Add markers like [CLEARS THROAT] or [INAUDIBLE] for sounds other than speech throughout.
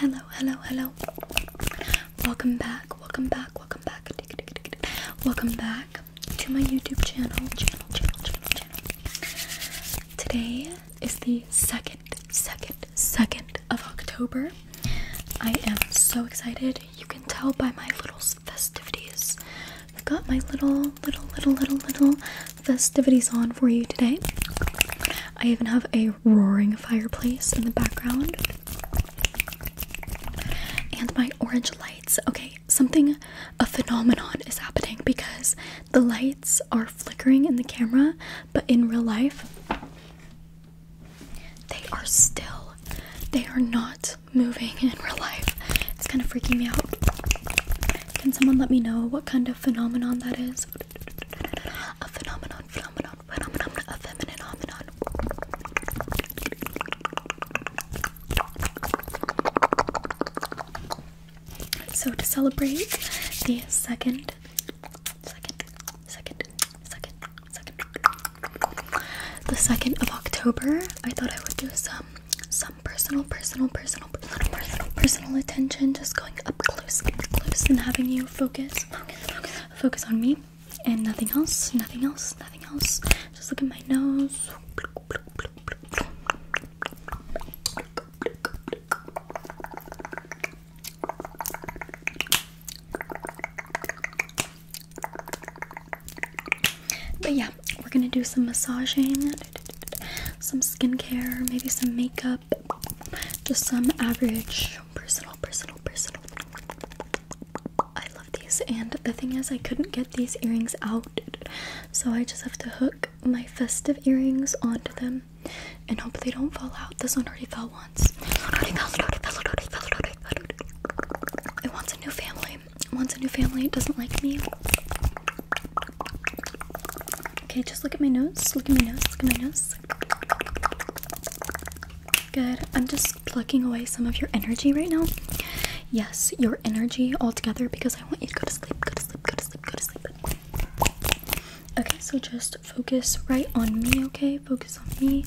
Hello, hello, hello. Welcome back, welcome back, welcome back. Welcome back to my YouTube channel, channel, channel, channel, channel. Today is the second, second, second of October. I am so excited. You can tell by my little festivities I've got my little, little, little, little, little festivities on for you today. I even have a roaring fireplace in the background. And my orange lights. Okay, something, a phenomenon is happening because the lights are flickering in the camera, but in real life, they are still, they are not moving in real life. It's kind of freaking me out. Can someone let me know what kind of phenomenon that is? A phenomenon, phenomenon, phenomenon, a feminine phenomenon. So to celebrate the second, second, second, second, second, the second of October, I thought I would do some, some personal, personal, personal, personal, personal, personal attention. Just going up close, up close, and having you focus, focus, focus on me and nothing else, nothing else, nothing else. Just look at my nose. But yeah, we're gonna do some massaging, some skincare, maybe some makeup, just some average personal, personal, personal. I love these, and the thing is, I couldn't get these earrings out, so I just have to hook my festive earrings onto them and hope they don't fall out. This one already fell once. It wants a new family wants a new family, doesn't like me. Okay, just look at my nose. Look at my nose. Look at my nose. Good. I'm just plucking away some of your energy right now. Yes, your energy altogether because I want you to go to sleep, go to sleep, go to sleep, go to sleep. Okay, so just focus right on me, okay? Focus on me.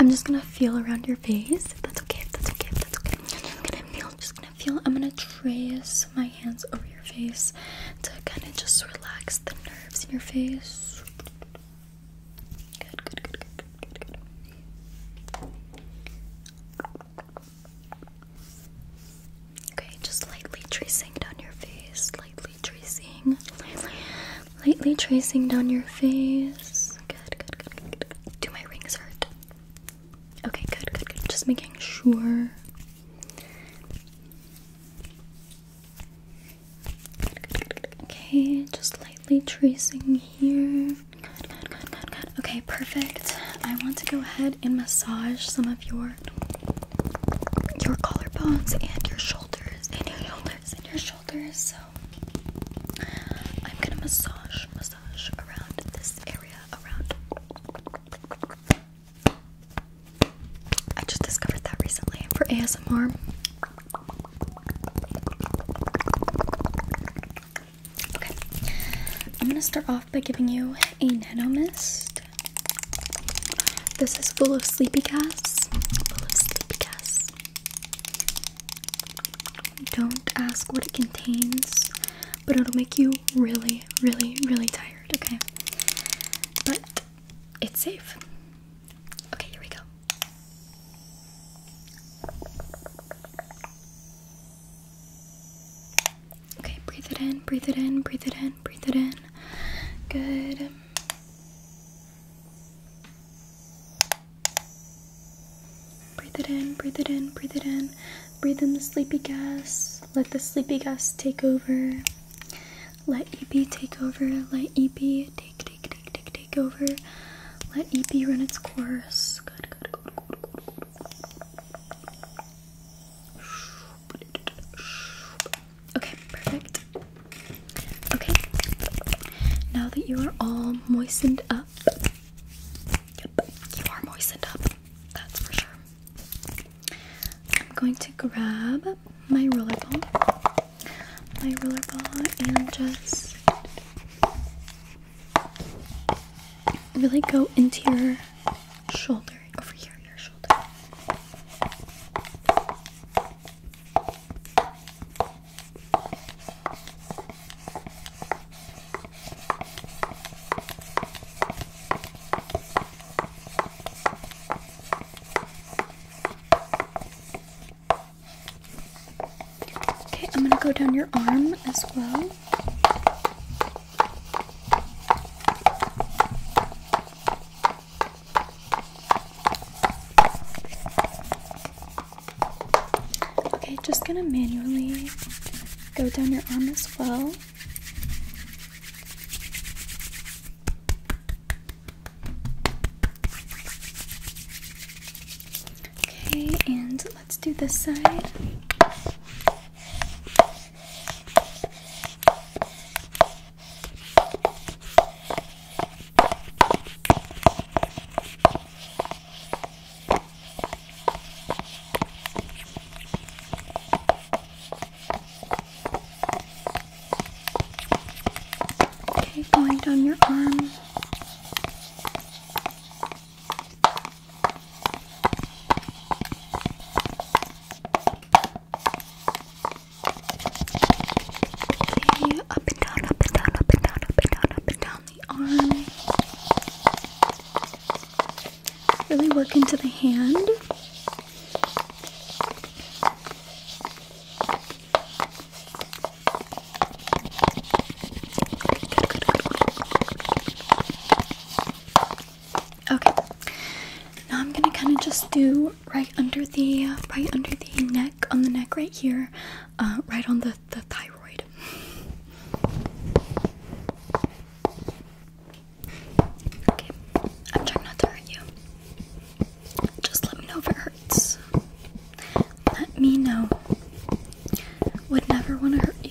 I'm just gonna feel around your face. If that's okay. that's okay. that's okay. I'm gonna feel. I'm just gonna feel. I'm gonna trace my hands over your face to kind of just relax the nerves in your face. Good. Good. Good. Good. Good. Good. Okay, just lightly tracing down your face, lightly, lightly tracing, lightly, lightly tracing down your face. Good, good, good, good, good. Do my rings hurt? Okay, good, good, good. Just making sure. Good, good, good, good. Okay, just lightly tracing here. Good, good, good, good, good. Okay, perfect. I want to go ahead and massage some of your your collarbones and your shoulders and your shoulders and your shoulders. So I'm gonna massage, massage around this area around. I just discovered that recently for ASMR. Okay, I'm gonna start off by giving you a nano mist. This is full of sleepy gas. Full of sleepy gas. Don't ask what it contains, but it'll make you really, really, really tired, okay? But it's safe. Okay, here we go. Okay, breathe it in, breathe it in, breathe it in breathe it in. Good. Breathe it in, breathe it in, breathe it in. Breathe in the sleepy gas. Let the sleepy gas take over. Let EP take over. Let EP take, take, take, take, take over. Let EP run its course. good, good, good, good. Okay, perfect. Okay, now that you are all moistened up, you are moistened up, that's for sure. I'm going to grab my roller my roller ball, and just really go into your shoulder, over here, your shoulder. Okay, I'm going to go down your arm as well. Okay, just gonna manually go down your arm as well. Okay, and let's do this side. Okay, going down your arm up and down, up and down, up and down, up and down, up and down the arm. Really work into the hand. Okay. Now I'm gonna kind of just do right under the right under the neck on the neck right here, uh, right on the the thyroid. Okay. I'm trying not to hurt you. Just let me know if it hurts. Let me know. Would never want to hurt you.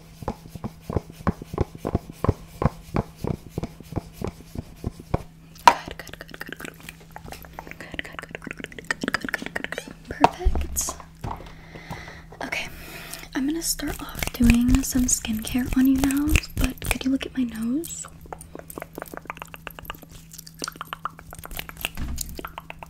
Good, good, good, good, good. Good, good, good, good, good, good, good, good, good. Perfect. Okay, I'm gonna start off doing some skincare on you now, but could you look at my nose?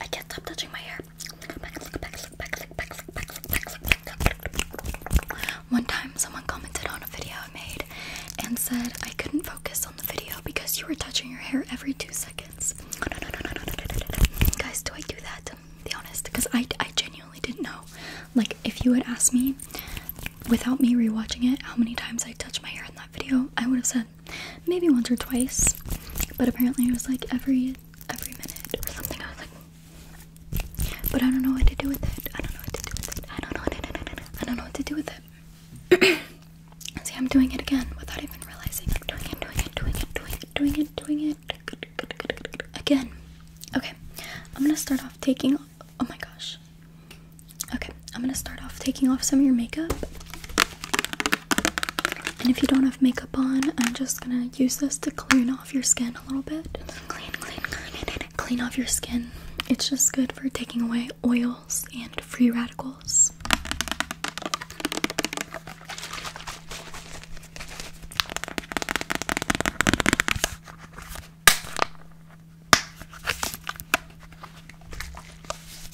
I can't stop touching my hair. One time, someone commented on a video I made and said I couldn't focus on the video because you were touching your hair every two seconds. Guys, do I do that? To be honest, because I, I genuinely didn't know. Like, if you had asked me without me rewatching it how many times I touched my hair in that video, I would have said maybe once or twice. But apparently, it was like every every minute or something. I was like, but I don't know what to do with it. I don't know what to do with it. I don't know what to do with it. I don't know what to do with it. [CLEARS THROAT] See, I'm doing it again without even realizing I'm doing it, doing it, doing it, doing it, doing it, doing it again. Okay, I'm gonna start off taking. Oh my gosh. Okay, I'm gonna start off taking off some of your makeup. And if you don't have makeup, on. I'm just gonna use this to clean off your skin a little bit. Clean, clean, clean, clean off your skin. It's just good for taking away oils and free radicals.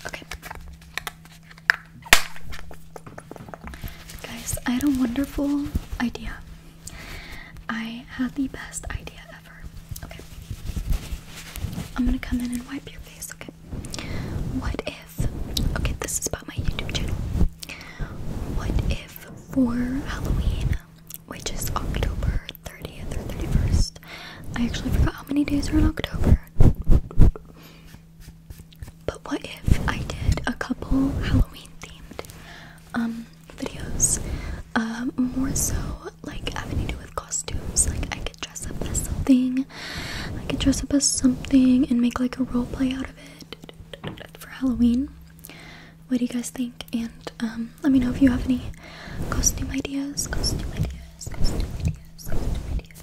Okay. Guys, I had a wonderful idea. I had the best idea ever. Okay. I'm gonna come in and wipe your face, okay? What if, okay, this is about my YouTube channel. What if for Halloween, which is October 30th or 31st, I actually forgot how many days are in October. But what if I did a couple Halloween themed um videos? Uh, more so like having to do with costumes. Like I could dress up as something, I could dress up as something and make like a role play out of it for Halloween. What do you guys think? And um, let me know if you have any costume ideas, costume ideas, costume ideas,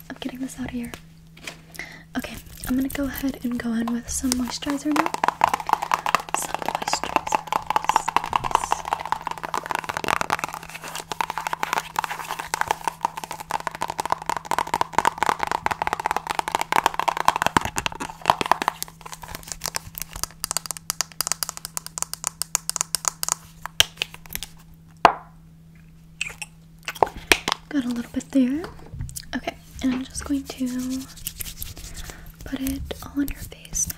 I'm getting this out of here. Okay, I'm gonna go ahead and go in with some moisturizer now. Got a little bit there. Okay, and I'm just going to put it on your face now.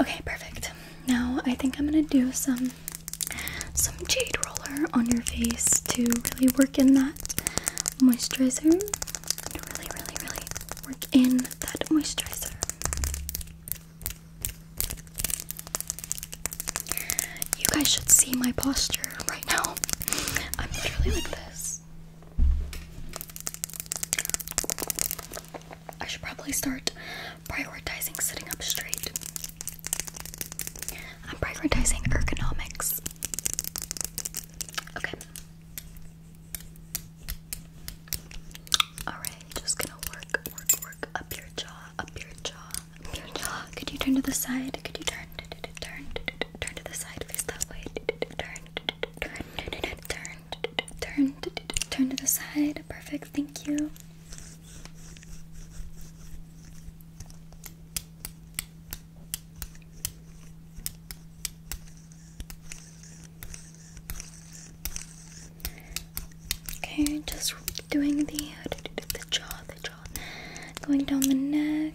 Okay, perfect. Now I think I'm gonna do some some jade roller on your face to really work in that moisturizer. really, really, really work in that moisturizer. You guys should see my posture right now. [LAUGHS] I'm literally like this. I should probably start prioritizing sitting up straight. I'm prioritizing ergonomics. Okay. Alright, just gonna work, work, work up your jaw, up your jaw, up your jaw. Could you turn to the side? Could you Turn, turn to the side, face that way. Turn, turn, turn, turn, turn to the side. Perfect, thank you. Okay, just doing the the jaw, the jaw, going down the neck.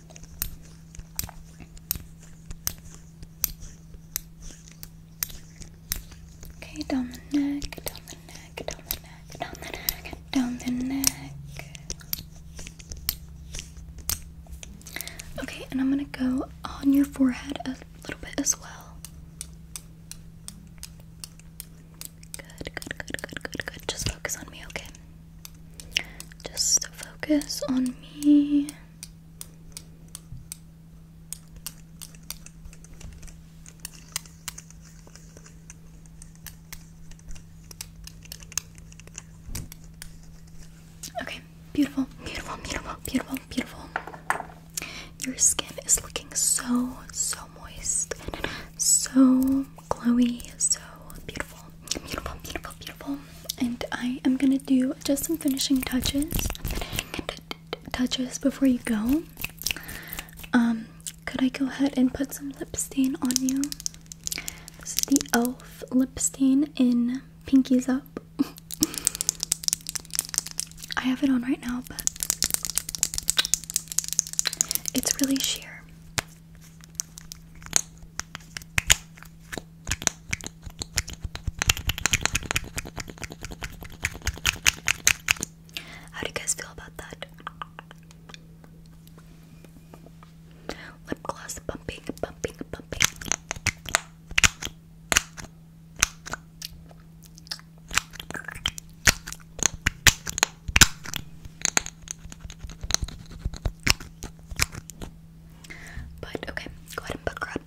Okay, down the neck, down the neck, down the neck, down the neck, down the neck. Okay, and I'm gonna go on your forehead a little bit as well. Good, good, good, good, good, good. Just focus on me, okay? Just focus on me. Okay, beautiful, beautiful, beautiful, beautiful, beautiful. Your skin is looking so, so moist, so glowy, so beautiful beautiful, beautiful, beautiful. And I am gonna do just some finishing touches, touches before you go. Um, could I go ahead and put some lip stain on you? This is the Elf lip stain in Pinkies Up. [LAUGHS] I have it on right now, but it's really sheer. How do you guys feel about that? Lip gloss bumping, bumping, bumping. But okay, go ahead and book her up.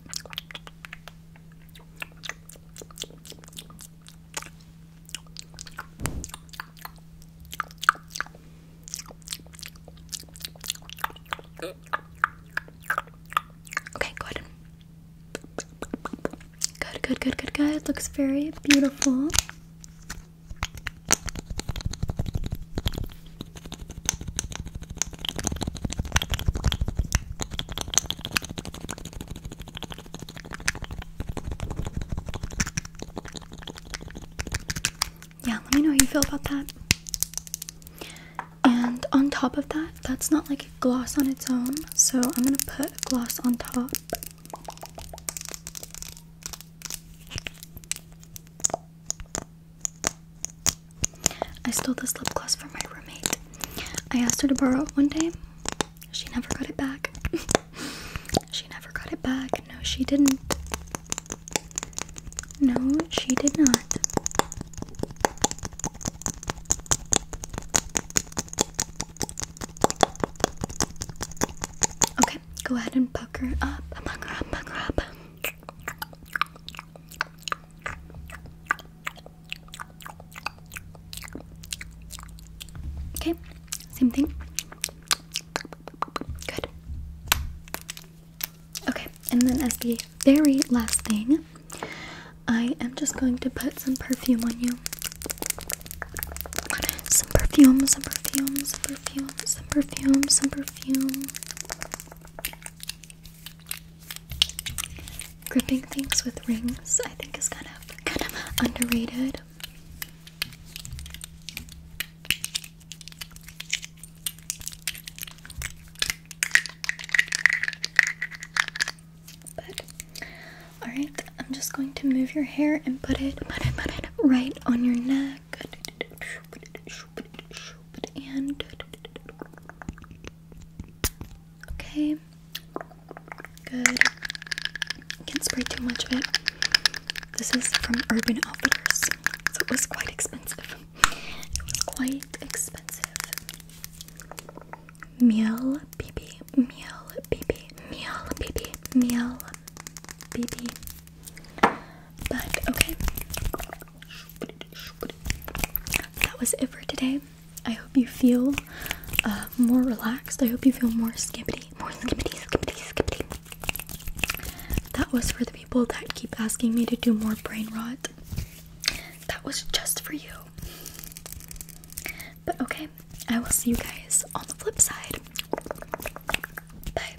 Okay, go ahead. Good, good, good, good, good. Looks very beautiful. Yeah, let me know how you feel about that. And on top of that, that's not like a gloss on its own, so I'm gonna put a gloss on top. I stole this lip gloss from my roommate. I asked her to borrow it one day. She never got it back. [LAUGHS] she never got it back. No, she didn't. No, she did not. Okay, go ahead and pucker up, pucker up, pucker up. Okay, same thing. Good. Okay, and then as the very last thing, I am just going to put some perfume on you. Some perfume, some perfume, some perfume, some perfume, some perfume. Gripping things with rings, I think, is kind of underrated. But all right, I'm just going to move your hair and put it right on your neck and okay good can't spray too much of it this is from urban outfitters so it was quite expensive it was quite expensive meal bb meal bb meal bb meal bb but okay. That was it for today. I hope you feel uh, more relaxed. I hope you feel more skippity, more skippity, skippity, skippity. That was for the people that keep asking me to do more brain rot. That was just for you. But okay, I will see you guys on the flip side. Bye.